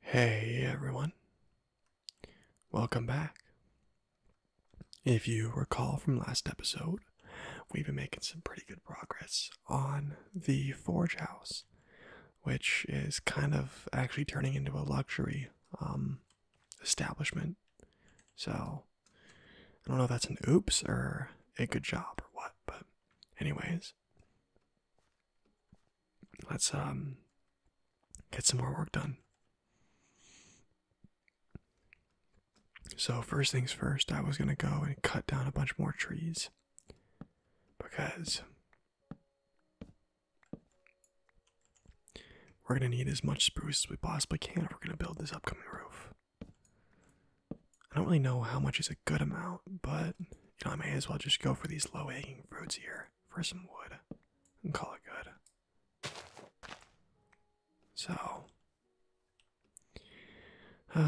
Hey everyone, welcome back. If you recall from last episode, we've been making some pretty good progress on the Forge House, which is kind of actually turning into a luxury um, establishment. So I don't know if that's an oops or a good job or what, but anyways. Let's um get some more work done. So first things first, I was going to go and cut down a bunch more trees because we're going to need as much spruce as we possibly can if we're going to build this upcoming roof. I don't really know how much is a good amount, but you know I may as well just go for these low-hanging fruits here for some wood and call it good. So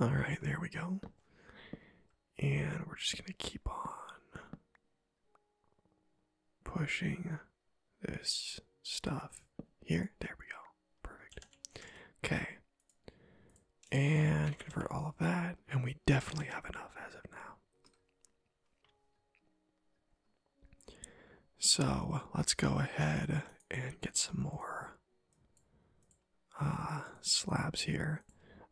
All right, there we go. And we're just going to keep on pushing this stuff here. There we go. Perfect. Okay. And convert all of that. And we definitely have enough as of now. So let's go ahead and get some more uh, slabs here.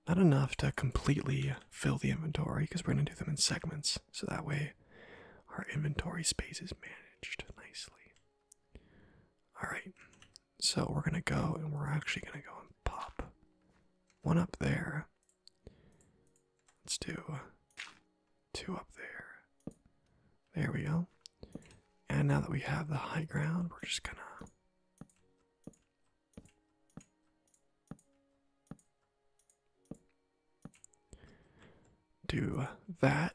Not enough to completely fill the inventory because we're going to do them in segments. So that way our inventory space is managed nicely. Alright, so we're going to go and we're actually going to go and pop one up there. Let's do two up there. There we go. And now that we have the high ground, we're just going to do that.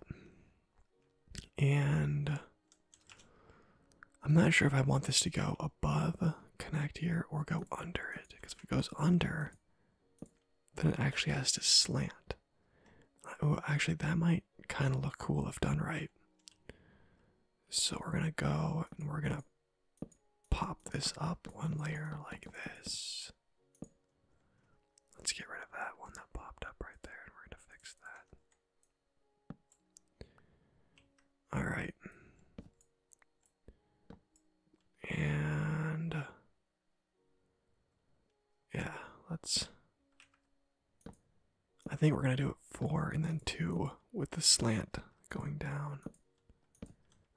And I'm not sure if I want this to go above connect here or go under it, because if it goes under, then it actually has to slant. Oh, actually, that might kind of look cool if done right. So we're gonna go and we're gonna pop this up one layer like this. Let's get rid of that one that popped up right there, and we're going to fix that. Alright. And. Yeah, let's. I think we're gonna do it four and then two with the slant going down.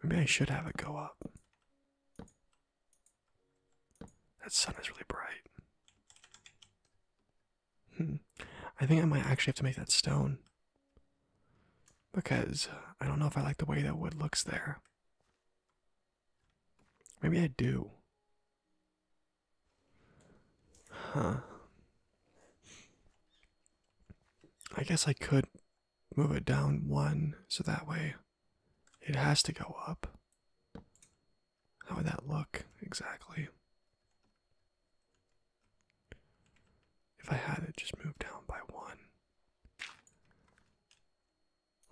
Maybe I should have it go up. That sun is really bright. Hmm. I think I might actually have to make that stone. Because I don't know if I like the way that wood looks there. Maybe I do. Huh. I guess I could move it down one so that way it has to go up. How would that look exactly? If I had it just move down by one.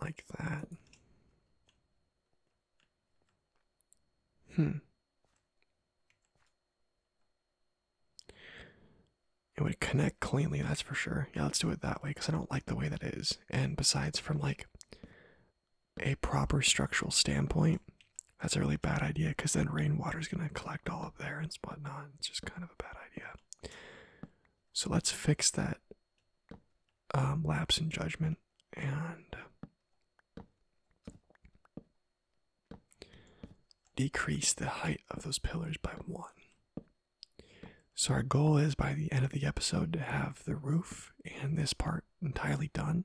Like that. Hmm. It would connect cleanly, that's for sure. Yeah, let's do it that way because I don't like the way that is. And besides, from like a proper structural standpoint, that's a really bad idea because then rainwater is going to collect all up there and whatnot. It's just kind of a bad idea. So let's fix that um, lapse in judgment and Decrease the height of those pillars by one. So, our goal is by the end of the episode to have the roof and this part entirely done.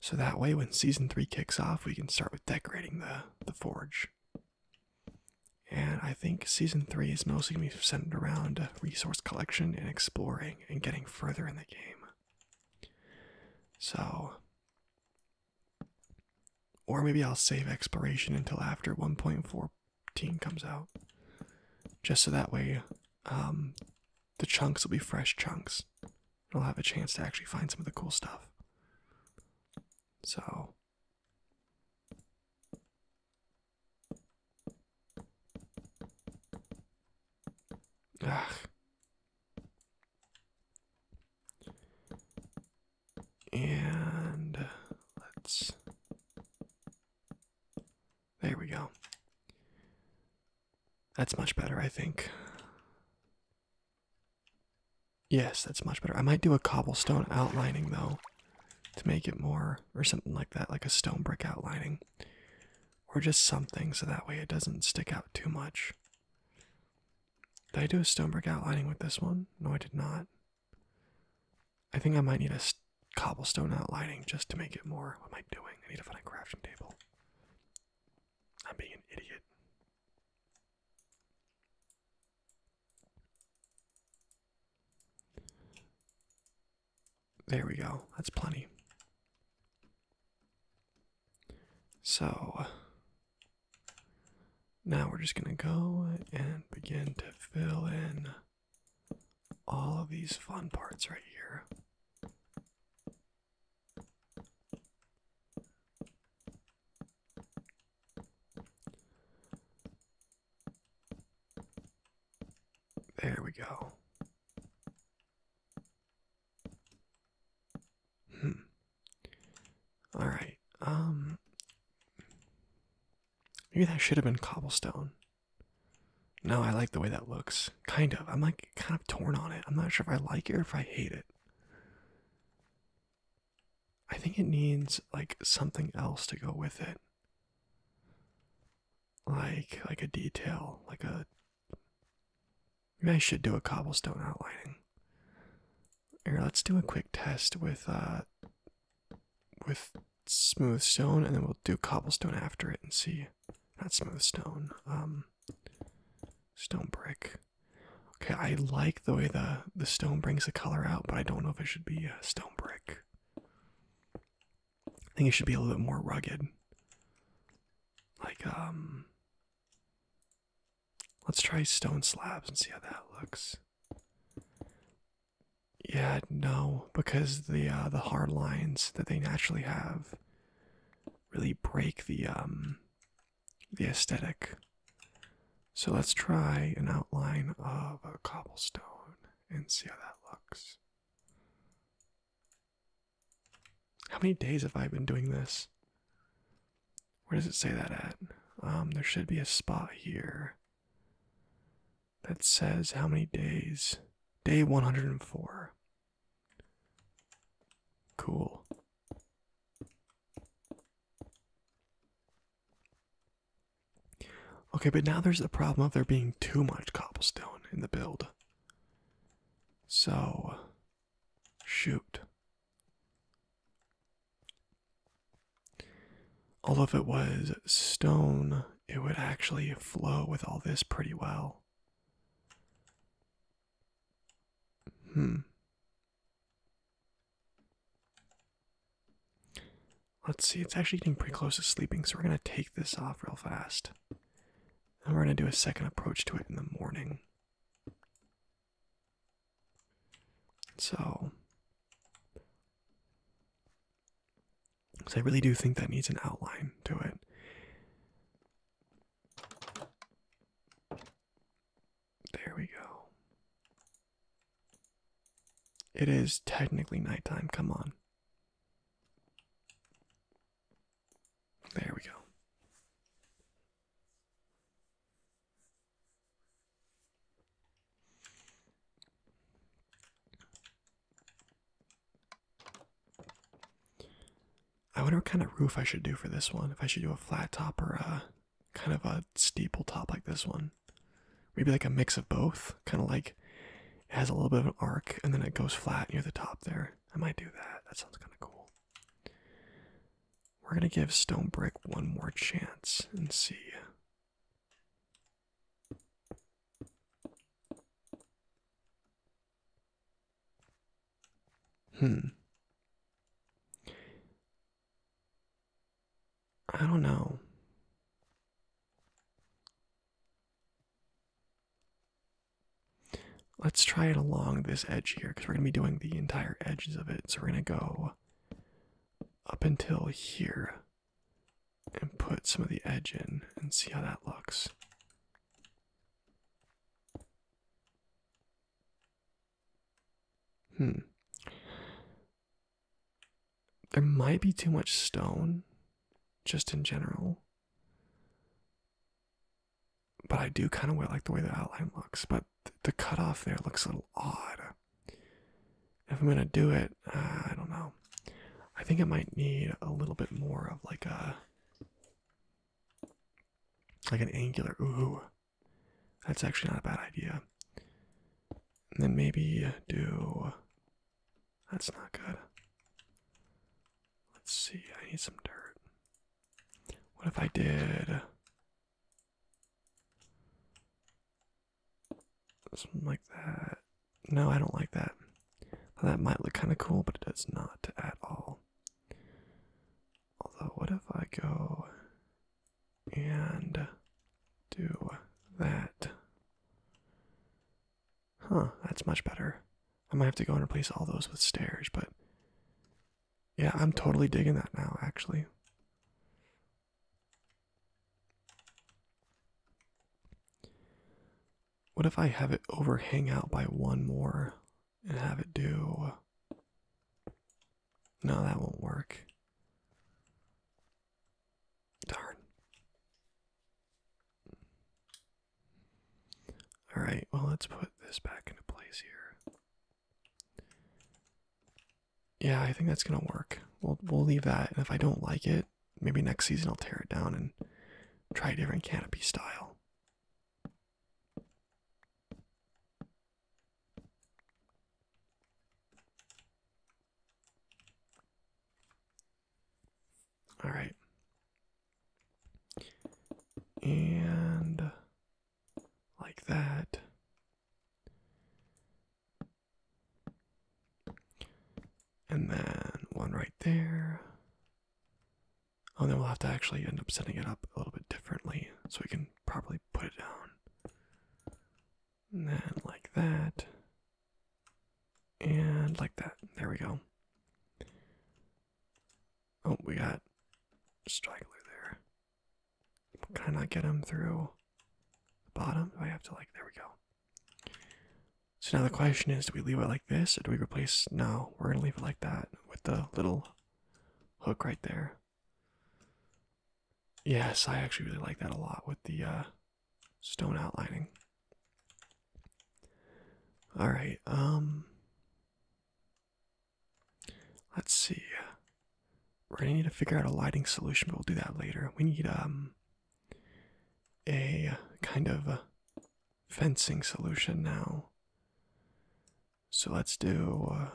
So that way, when season three kicks off, we can start with decorating the, the forge. And I think season three is mostly going to be centered around resource collection and exploring and getting further in the game. So, or maybe I'll save exploration until after 1.14 comes out. Just so that way um, the chunks will be fresh chunks. I'll have a chance to actually find some of the cool stuff. So. And let's. There we go. That's much better, I think. Yes, that's much better. I might do a cobblestone outlining though to make it more or something like that, like a stone brick outlining or just something so that way it doesn't stick out too much. Did I do a stone brick outlining with this one? No, I did not. I think I might need a cobblestone outlining just to make it more. What am I doing? I need to find a crafting table. I'm being an idiot. There we go. That's plenty. So now we're just going to go and begin to fill in all of these fun parts right here. There we go. Hmm. All right. Um. Maybe that should have been cobblestone. No, I like the way that looks. Kind of. I'm like kind of torn on it. I'm not sure if I like it or if I hate it. I think it needs like something else to go with it. Like like a detail, like a I should do a cobblestone outlining. Here, let's do a quick test with uh with smooth stone and then we'll do cobblestone after it and see. Not smooth stone. Um stone brick. Okay, I like the way the the stone brings the color out, but I don't know if it should be a uh, stone brick. I think it should be a little bit more rugged. Like um Let's try stone slabs and see how that looks. Yeah, no, because the uh, the hard lines that they naturally have really break the um the aesthetic. So let's try an outline of a cobblestone and see how that looks. How many days have I been doing this? Where does it say that at? Um, there should be a spot here that says how many days. Day 104. Cool. Okay, but now there's the problem of there being too much cobblestone in the build. So, shoot. Although if it was stone, it would actually flow with all this pretty well. Hmm. Let's see, it's actually getting pretty close to sleeping, so we're going to take this off real fast. And we're going to do a second approach to it in the morning. So, because I really do think that needs an outline to it. There we go. It is technically nighttime, come on. There we go. I wonder what kind of roof I should do for this one. If I should do a flat top or a kind of a steeple top like this one. Maybe like a mix of both. Kind of like it has a little bit of an arc and then it goes flat near the top there. I might do that. That sounds kind of cool. We're gonna give Stone Brick one more chance and see. Hmm. I don't know. Let's try it along this edge here because we're going to be doing the entire edges of it. So we're going to go up until here and put some of the edge in and see how that looks. Hmm. There might be too much stone just in general but I do kind of like the way the outline looks, but th the cutoff there looks a little odd. If I'm going to do it, uh, I don't know. I think it might need a little bit more of like a like an angular ooh. That's actually not a bad idea. And then maybe do that's not good. Let's see. I need some dirt. What if I did something like that? No, I don't like that. that might look kind of cool, but it does not at all. Although, what if I go and do that? Huh, that's much better. I might have to go and replace all those with stairs, but yeah, I'm totally digging that now, actually. What if I have it overhang out by one more and have it do. No, that won't work. Darn. Alright, well, let's put this back into place here yeah, I think that's gonna work. We'll we'll leave that, and if I don't like it, maybe next season I'll tear it down and try a different canopy style. All right, and like that. And then one right there. Oh, then we'll have to actually end up setting it up a little bit differently so we can properly put it down. And then like that. And like that. There we go. Oh, we got Straggler there. Can I not get him through the bottom? Do I have to, like, there we go. So now the question is, do we leave it like this, or do we replace? No, we're going to leave it like that with the little hook right there. Yes, I actually really like that a lot with the uh, stone outlining. All right, um, Let's see. We're gonna need to figure out a lighting solution, but we'll do that later. We need um a kind of fencing solution now. So let's do uh,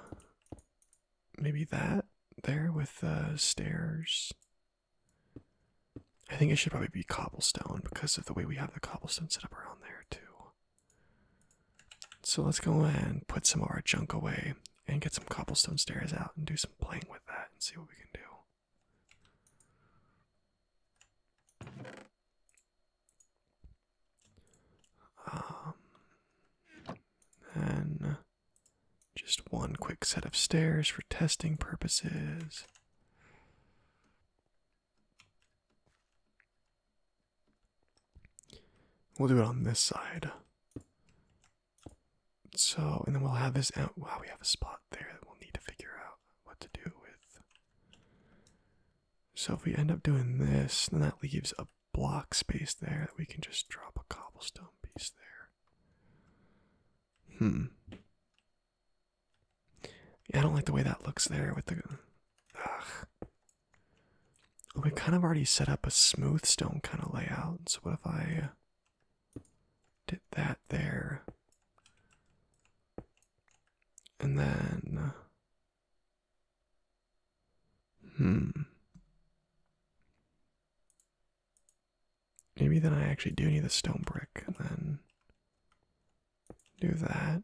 maybe that there with uh, stairs. I think it should probably be cobblestone because of the way we have the cobblestone set up around there too. So let's go ahead and put some of our junk away and get some cobblestone stairs out and do some playing with that and see what we can do. Um, just one quick set of stairs for testing purposes. We'll do it on this side. So, and then we'll have this out. Wow, we have a spot there that we'll need to figure out what to do with. So, if we end up doing this, then that leaves a block space there that we can just drop a cobblestone piece there. Hmm. Yeah, I don't like the way that looks there with the. We kind of already set up a smooth stone kind of layout, so what if I did that there? And then. Hmm. Maybe then I actually do need the stone brick, and then do that.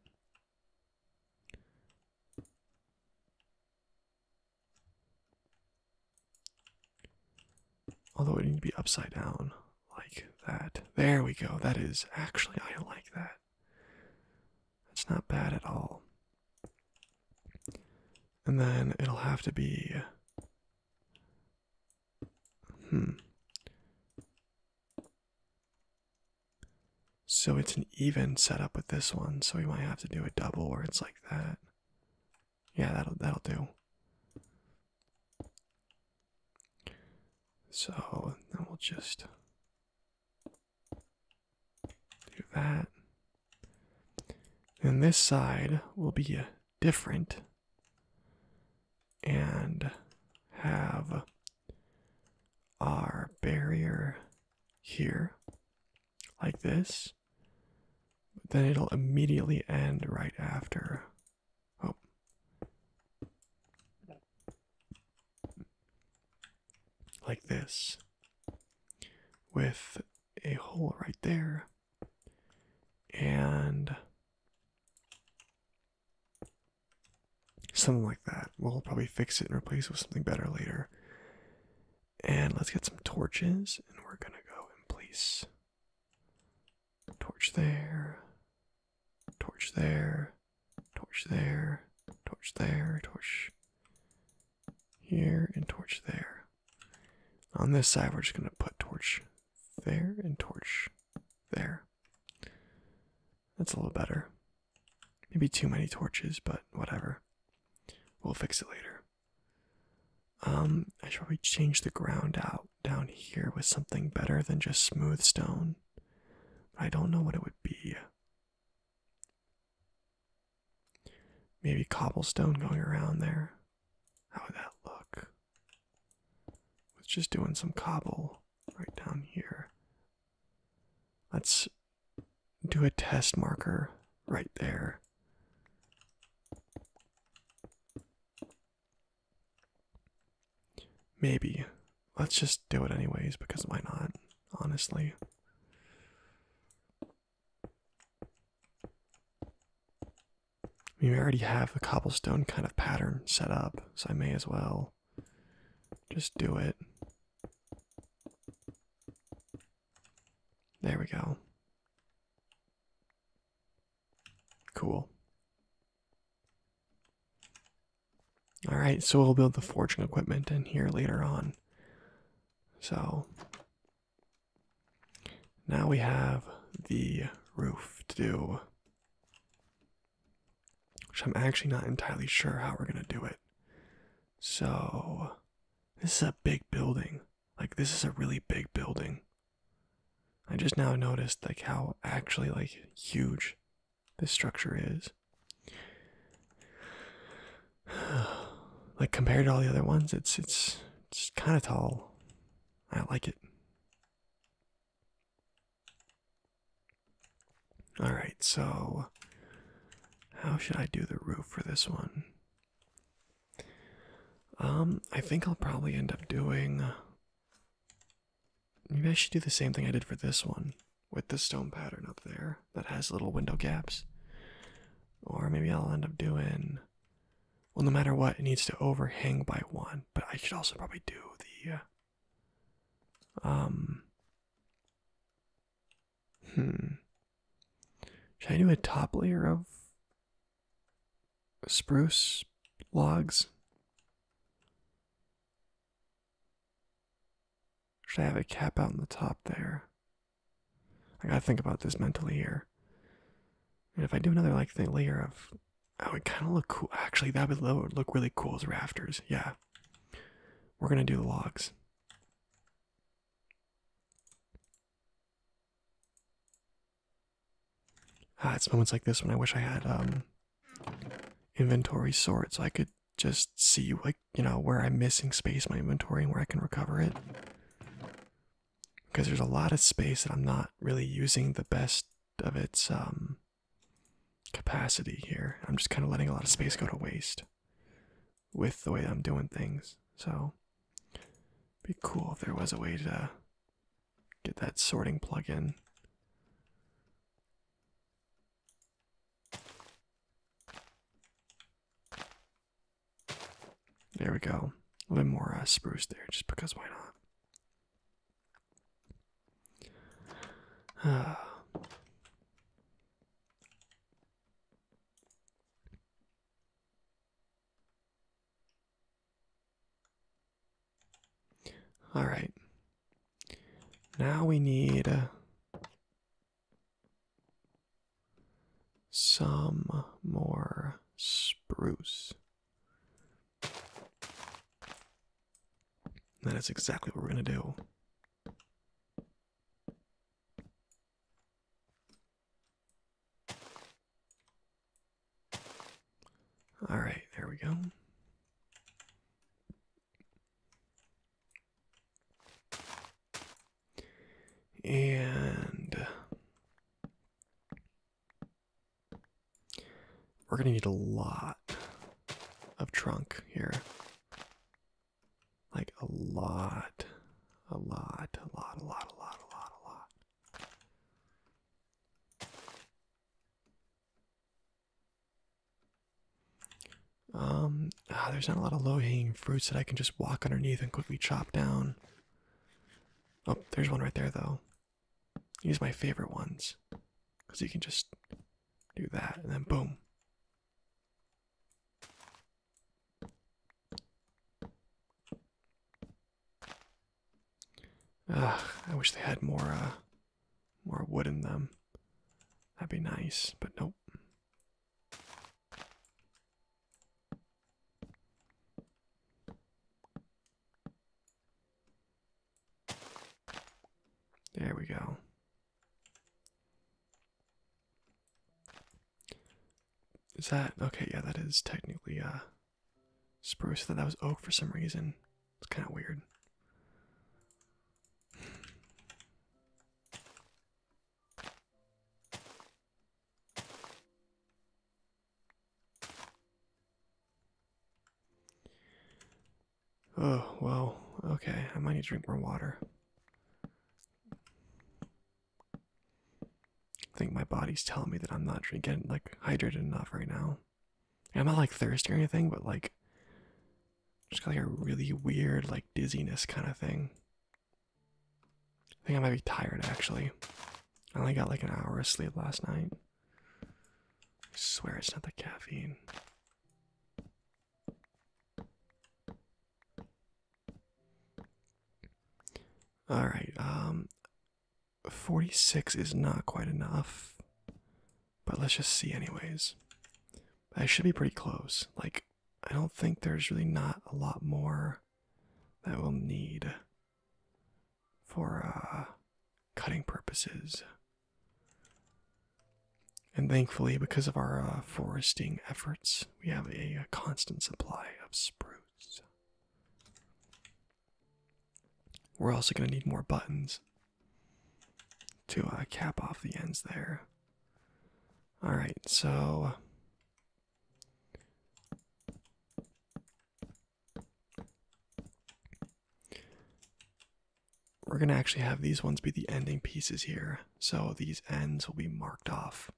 Although it need to be upside down like that. There we go. That is actually I like that. That's not bad at all. And then it'll have to be hmm. So it's an even setup with this one, so we might have to do a double or it's like that. Yeah, that'll that'll do. So then we'll just do that. And this side will be different and have our barrier here, like this, then it'll immediately end right after. Oh. Like this, with a hole right there, and Something like that. We'll probably fix it and replace it with something better later. And let's get some torches, and we're gonna go and place torch there, torch there, torch there, torch there, torch here, and torch there. On this side, we're just gonna put torch there and torch there. That's a little better. Maybe too many torches, but whatever. We'll fix it later. Um, I should probably change the ground out down here with something better than just smooth stone. I don't know what it would be. Maybe cobblestone going around there. How would that look? It's just doing some cobble right down here. Let's do a test marker right there. Maybe. Let's just do it anyways, because why not? Honestly. we already have a cobblestone kind of pattern set up, so I may as well just do it. There we go. Cool. Alright, so we'll build the forging equipment in here later on. So now we have the roof to do which I'm actually not entirely sure how we're going to do it. So, this is a big building. Like, this is a really big building. I just now noticed, like, how actually, like, huge this structure is. like, compared to all the other ones, it's, it's, it's kind of tall. I like it. All right, so how should I do the roof for this one? Um, I think I'll probably end up doing. Maybe I should do the same thing I did for this one with the stone pattern up there that has little window gaps. Or maybe I'll end up doing. Well, no matter what, it needs to overhang by one, but I should also probably do the. Um, Hmm. Should I do a top layer of spruce logs? Should I have a cap out in the top there? I gotta think about this mentally here. And if I do another like layer of, oh, that would kind of look cool. Actually, that would look really cool as rafters. Yeah, we're gonna do the logs. Ah, it's moments like this when I wish I had um, inventory sort so I could just see like you know where I'm missing space my inventory and where I can recover it. Because there's a lot of space that I'm not really using the best of its um, capacity here. I'm just kind of letting a lot of space go to waste with the way I'm doing things. So, be cool if there was a way to get that sorting plug in. There we go. A little more uh, spruce there, just because why not? Ah. All right. Now we need uh, some more spruce. That is exactly what we're going to do. All right, there we go. And we're going to need a lot of trunk here. Like a lot. A lot, a lot, a lot, a lot, a lot, a lot. Um, ah, there's not a lot of low-hanging fruits that I can just walk underneath and quickly chop down. Oh, there's one right there though. Use my favorite ones, because you can just do that and then boom, Ugh, I wish they had more uh, more wood in them. That'd be nice, but nope. There we go. Is that okay? Yeah, that is technically uh spruce. That that was oak for some reason. It's kind of weird. Oh, well, okay. I might need to drink more water. I think my body's telling me that I'm not drinking, like, hydrated enough right now. And I'm not, like, thirsty or anything, but, like, just got, like, a really weird, like, dizziness kind of thing. I think I might be tired, actually. I only got, like, an hour of sleep last night. I swear it's not the caffeine. All right, um, 46 is not quite enough, but let's just see, anyways. I should be pretty close. Like, I don't think there's really not a lot more that we'll need for uh, cutting purposes. And thankfully, because of our uh, foresting efforts, we have a, constant supply of spruce. We're also going to need more buttons to uh, cap off the ends there. Alright, so. We're going to actually have these ones be the ending pieces here. So these ends will be marked off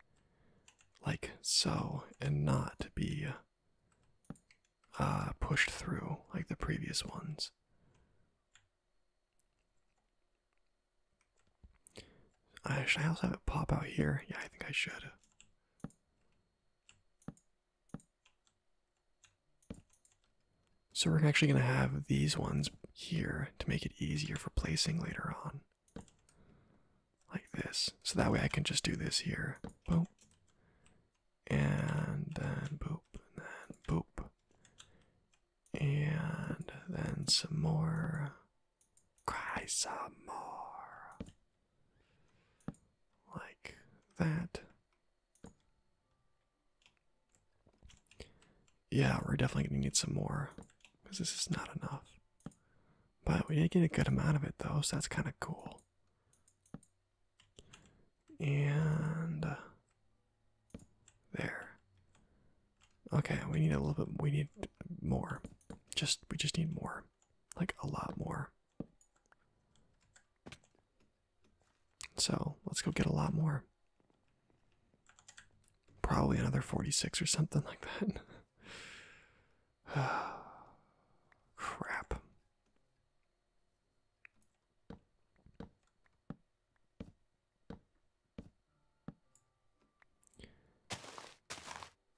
like so and not be uh, pushed through like the previous ones. should I also have it pop out here? Yeah, I think I should. So we're actually going to have these ones here to make it easier for placing later on. Like this. So that way I can just do this here. Boop. And then boop. And then boop. And then some more. Cry some more. Like that. Yeah, we're definitely gonna need some more because this is not enough. But we did get a good amount of it though, so that's kind of cool. And uh, there. Okay, we need a little bit. We need more. Just we just need more, like a lot more. So let's go get a lot more. Probably another 46 or something like that. Crap.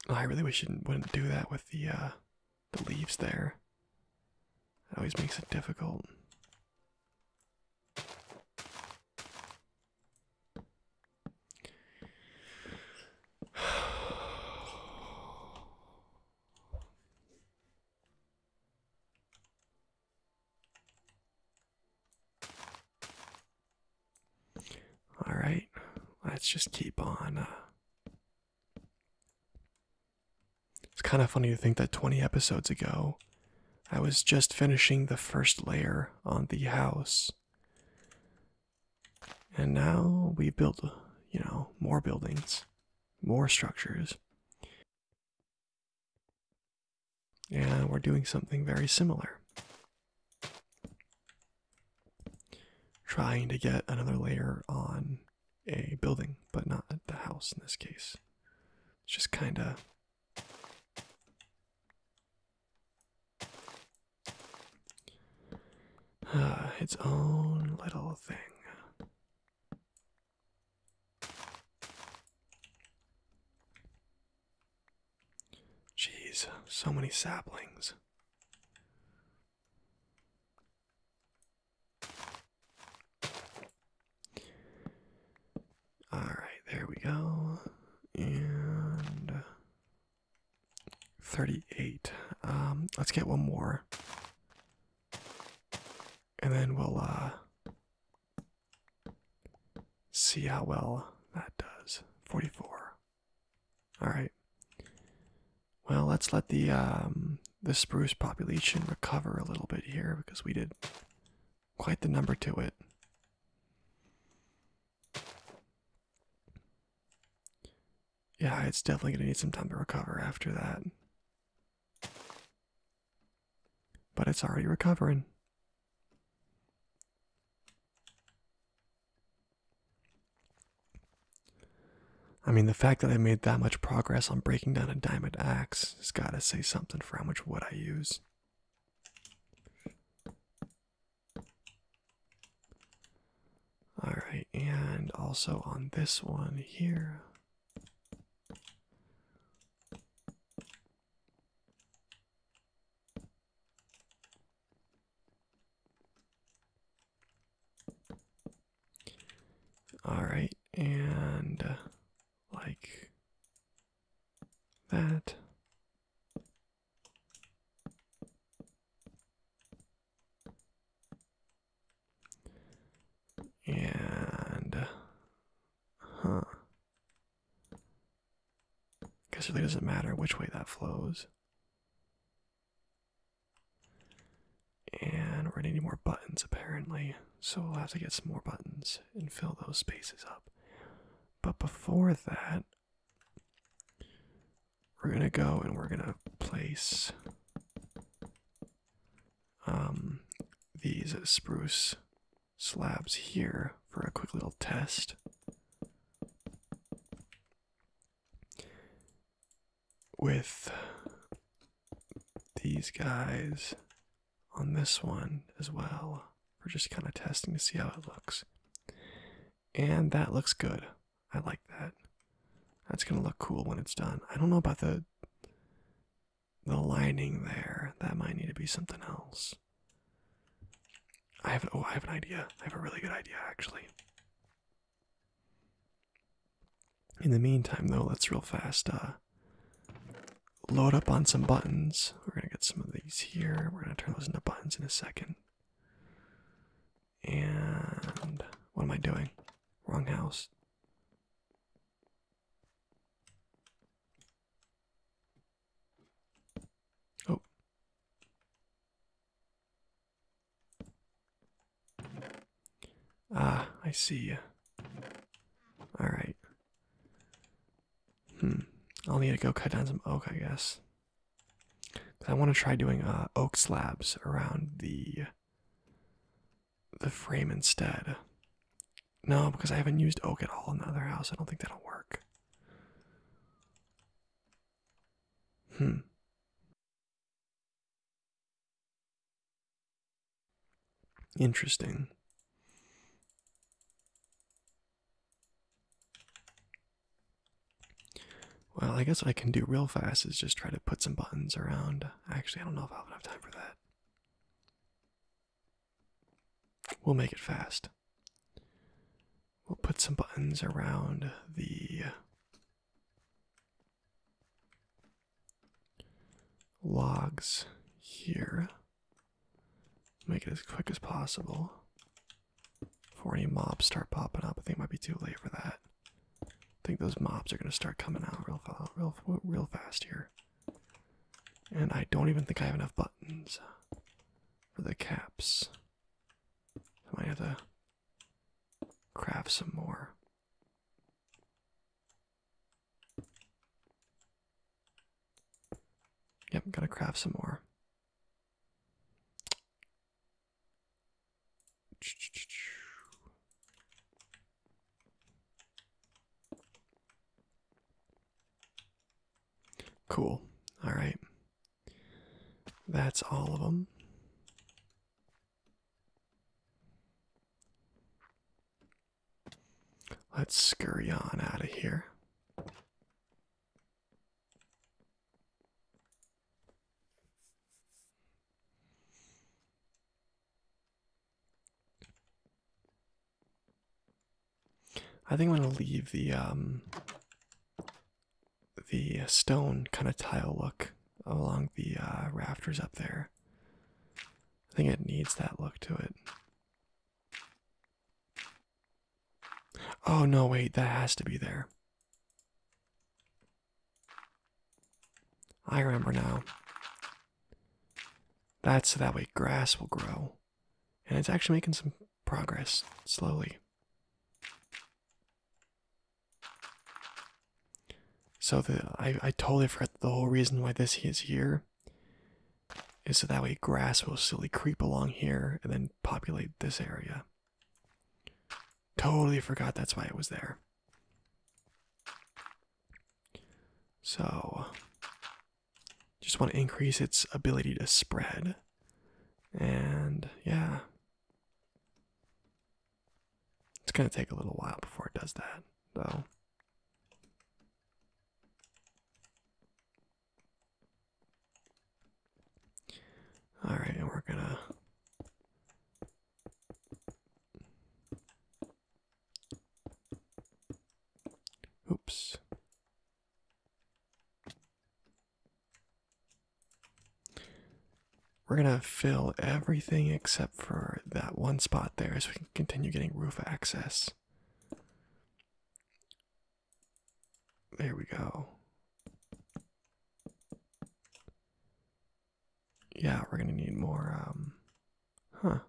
Oh, I really wish you wouldn't do that with the uh, the leaves there. It always makes it difficult. All right, let's just keep on. Uh, it's kind of funny to think that 20 episodes ago, I was just finishing the first layer on the house. And now we built, you know, more buildings, more structures. And we're doing something very similar. Trying to get another layer on a building, but not the house in this case. It's just kind of uh, its own little thing. Jeez, so many saplings. All right, there we go. And 38. Um, let's get one more. And then we'll uh see how well that does. 44. All right. Well, let's let the um the spruce population recover a little bit here because we did quite the number to it. Yeah, it's definitely gonna need some time to recover after that. But it's already recovering. I mean, the fact that I made that much progress on breaking down a diamond axe has got to say something for how much wood I use. All right, and also on this one here. All right, and uh, like that. And huh. Guess it really doesn't matter which way that flows. And we're gonna need more buttons apparently so we'll have to get some more buttons and fill those spaces up. But before that, we're gonna go and we're gonna place um, these spruce slabs here for a quick little test. With these guys on this one as well. We're just kind of testing to see how it looks. And that looks good. I like that. That's gonna look cool when it's done. I don't know about the the lining there. That might need to be something else. I have oh I have an idea. I have a really good idea actually. In the meantime though, let's real fast uh load up on some buttons. We're going to get some of these here. We're going to turn those into buttons in a second. And what am I doing? Wrong house. Oh. Ah, I see you. All right. Hmm. I'll need to go cut down some oak, I guess. I want to try doing uh, oak slabs around the the frame instead. No, because I haven't used oak at all in the other house. I don't think that'll work. Hmm. Interesting. Well, I guess what I can do real fast is just try to put some buttons around. Actually, I don't know if i have enough time for that. We'll make it fast. We'll put some buttons around the logs here. Make it as quick as possible. Before any mobs start popping up, I think it might be too late for that. I think those mobs are gonna start coming out real, real, real fast here. And I don't even think I have enough buttons for the caps. I might have to craft some more. Yep, gotta craft some more. Cool. All right. That's all of them. Let's scurry on out of here. I think I'm gonna leave the um, the stone kind of tile look along the uh, rafters up there. I think it needs that look to it. Oh no, wait, that has to be there. I remember now. That's so that way grass will grow. And it's actually making some progress slowly. So the I, I totally forgot the whole reason why this is here here is so that way grass will slowly creep along here and then populate this area. Totally forgot that's why it was there. So, just want to increase its ability to spread. And yeah, it's going to take a little while before it does that, though. All right, and we're gonna Oops. We're gonna fill everything except for that one spot there so we can continue getting roof access. There we go. Yeah, we're gonna need more, um, huh.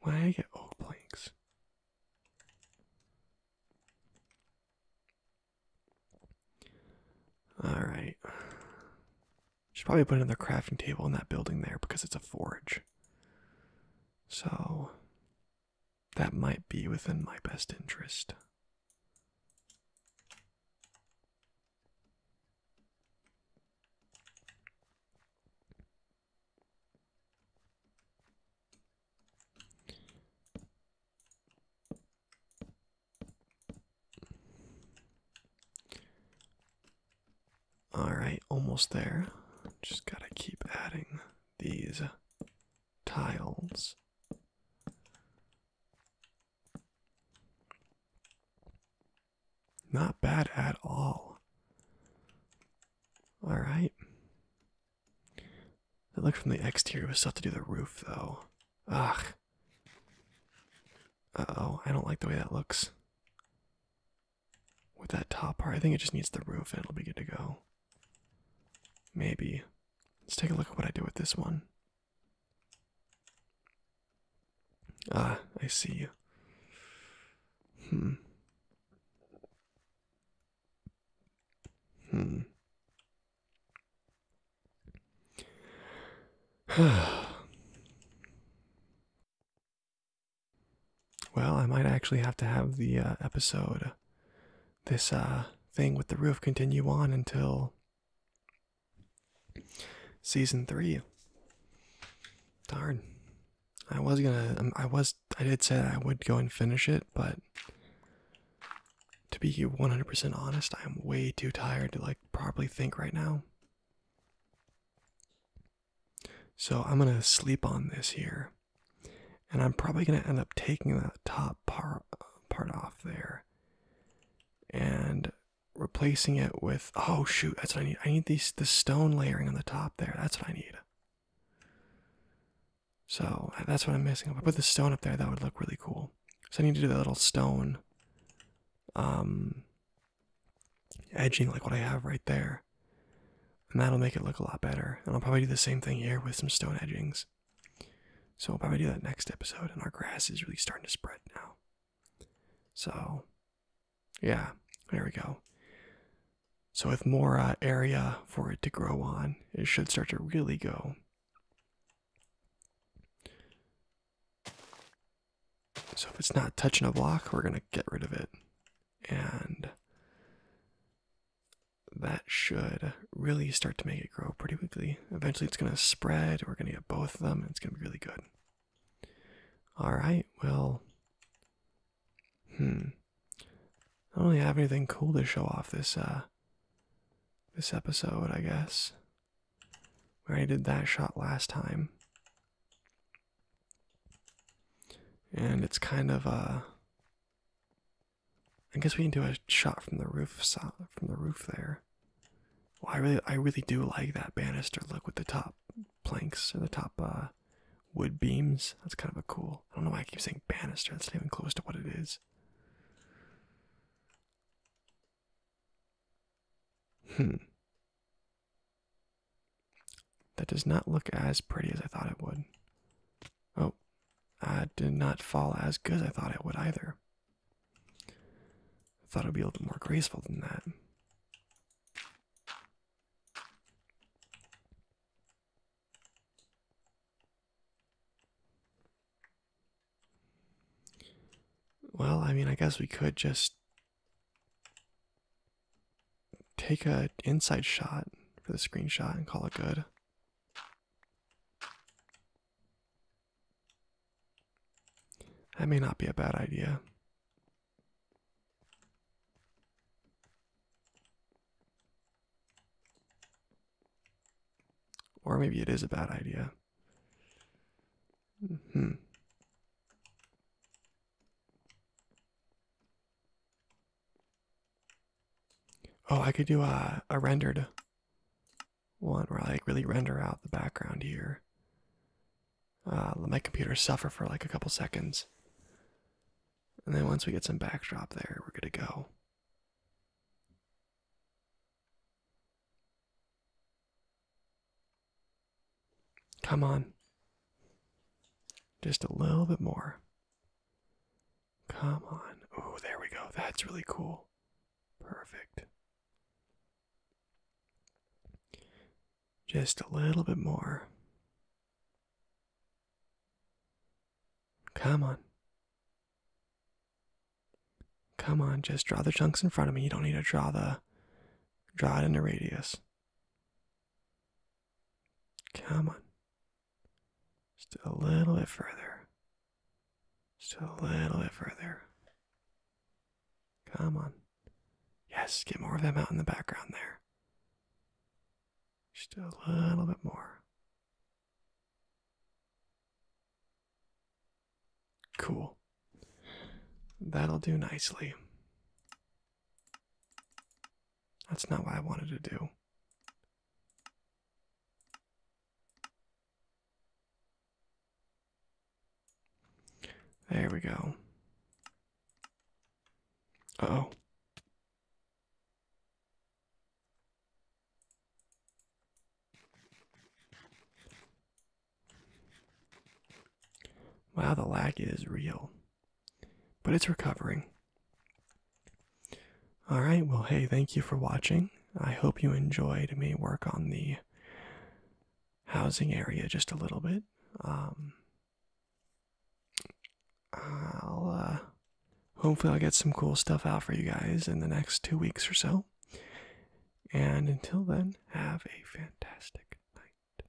When I get oak planks. Alright. Should probably put another crafting table in that building there because it's a forge. So, that might be within my best interest. All right, almost there. Just gotta keep adding these tiles. Not bad at all. All right. That look from the exterior was tough to do the roof, though. Ugh. Uh oh, I don't like the way that looks with that top part. I think it just needs the roof and it'll be good to go. Maybe. Let's take a look at what I do with this one. Ah, I see you. Hmm. Hmm. Well, I might actually have to have the uh, episode, this uh, thing with the roof, continue on until season three. Darn. I was gonna, um, I was, I did say I would go and finish it, but to be 100% honest, I am way too tired to like probably think right now. So I'm going to sleep on this here. And I'm probably going to end up taking that top part, part off there and replacing it with. Oh, shoot, that's what I need. I need these, the stone layering on the top there. That's what I need. So uh, that's what I'm missing. If I put the stone up there, that would look really cool. So I need to do that little stone um, edging like what I have right there. And that'll make it look a lot better. And I'll probably do the same thing here with some stone edgings. So i will probably do that next episode. And our grass is really starting to spread now. So, yeah, there we go. So with more uh, area for it to grow on, it should start to really go. So if it's not touching a block, we're going to get rid of it and that should really start to make it grow pretty quickly. Eventually, it's going to spread. We're going to get both of them, and it's going to be really good. All right, well, hmm. I don't really have anything cool to show off this uh this episode, I guess. We already did that shot last time. And it's kind of uh I guess we can do a shot from the roof side from the roof there. Well, I really I really do like that banister look with the top planks or the top uh wood beams. That's kind of a cool. I don't know why I keep saying banister. That's not even close to what it is. Hmm. That does not look as pretty as I thought it would. Oh, I did not fall as good as I thought I would either. I thought it would be a little more graceful than that. Well, I mean, I guess we could just take an inside shot for the screenshot and call it good. That may not be a bad idea. Or maybe it is a bad idea. hmm. Oh, I could do a, a rendered one where I really render out the background here. Uh, let my computer suffer for like a couple seconds. And then once we get some backdrop there, we're going to go. Come on. Just a little bit more. Come on. Oh, there we go. That's really cool. Perfect. Just a little bit more. Come on. Come on, just draw the chunks in front of me. You don't need to draw the draw it in a radius. Come on. Just a little bit further. Just a little bit further. Come on. Yes, get more of them out in the background there. Just a little bit more. Cool. That'll do nicely. That's not what I wanted to do. There we go. oh. Wow, the lag is real but it's recovering. All right, well, hey, thank you for watching. I hope you enjoyed me work on the housing area just a little bit. Um, I'll uh, hopefully I'll get some cool stuff out for you guys in the next two weeks or so. And until then, have a fantastic night.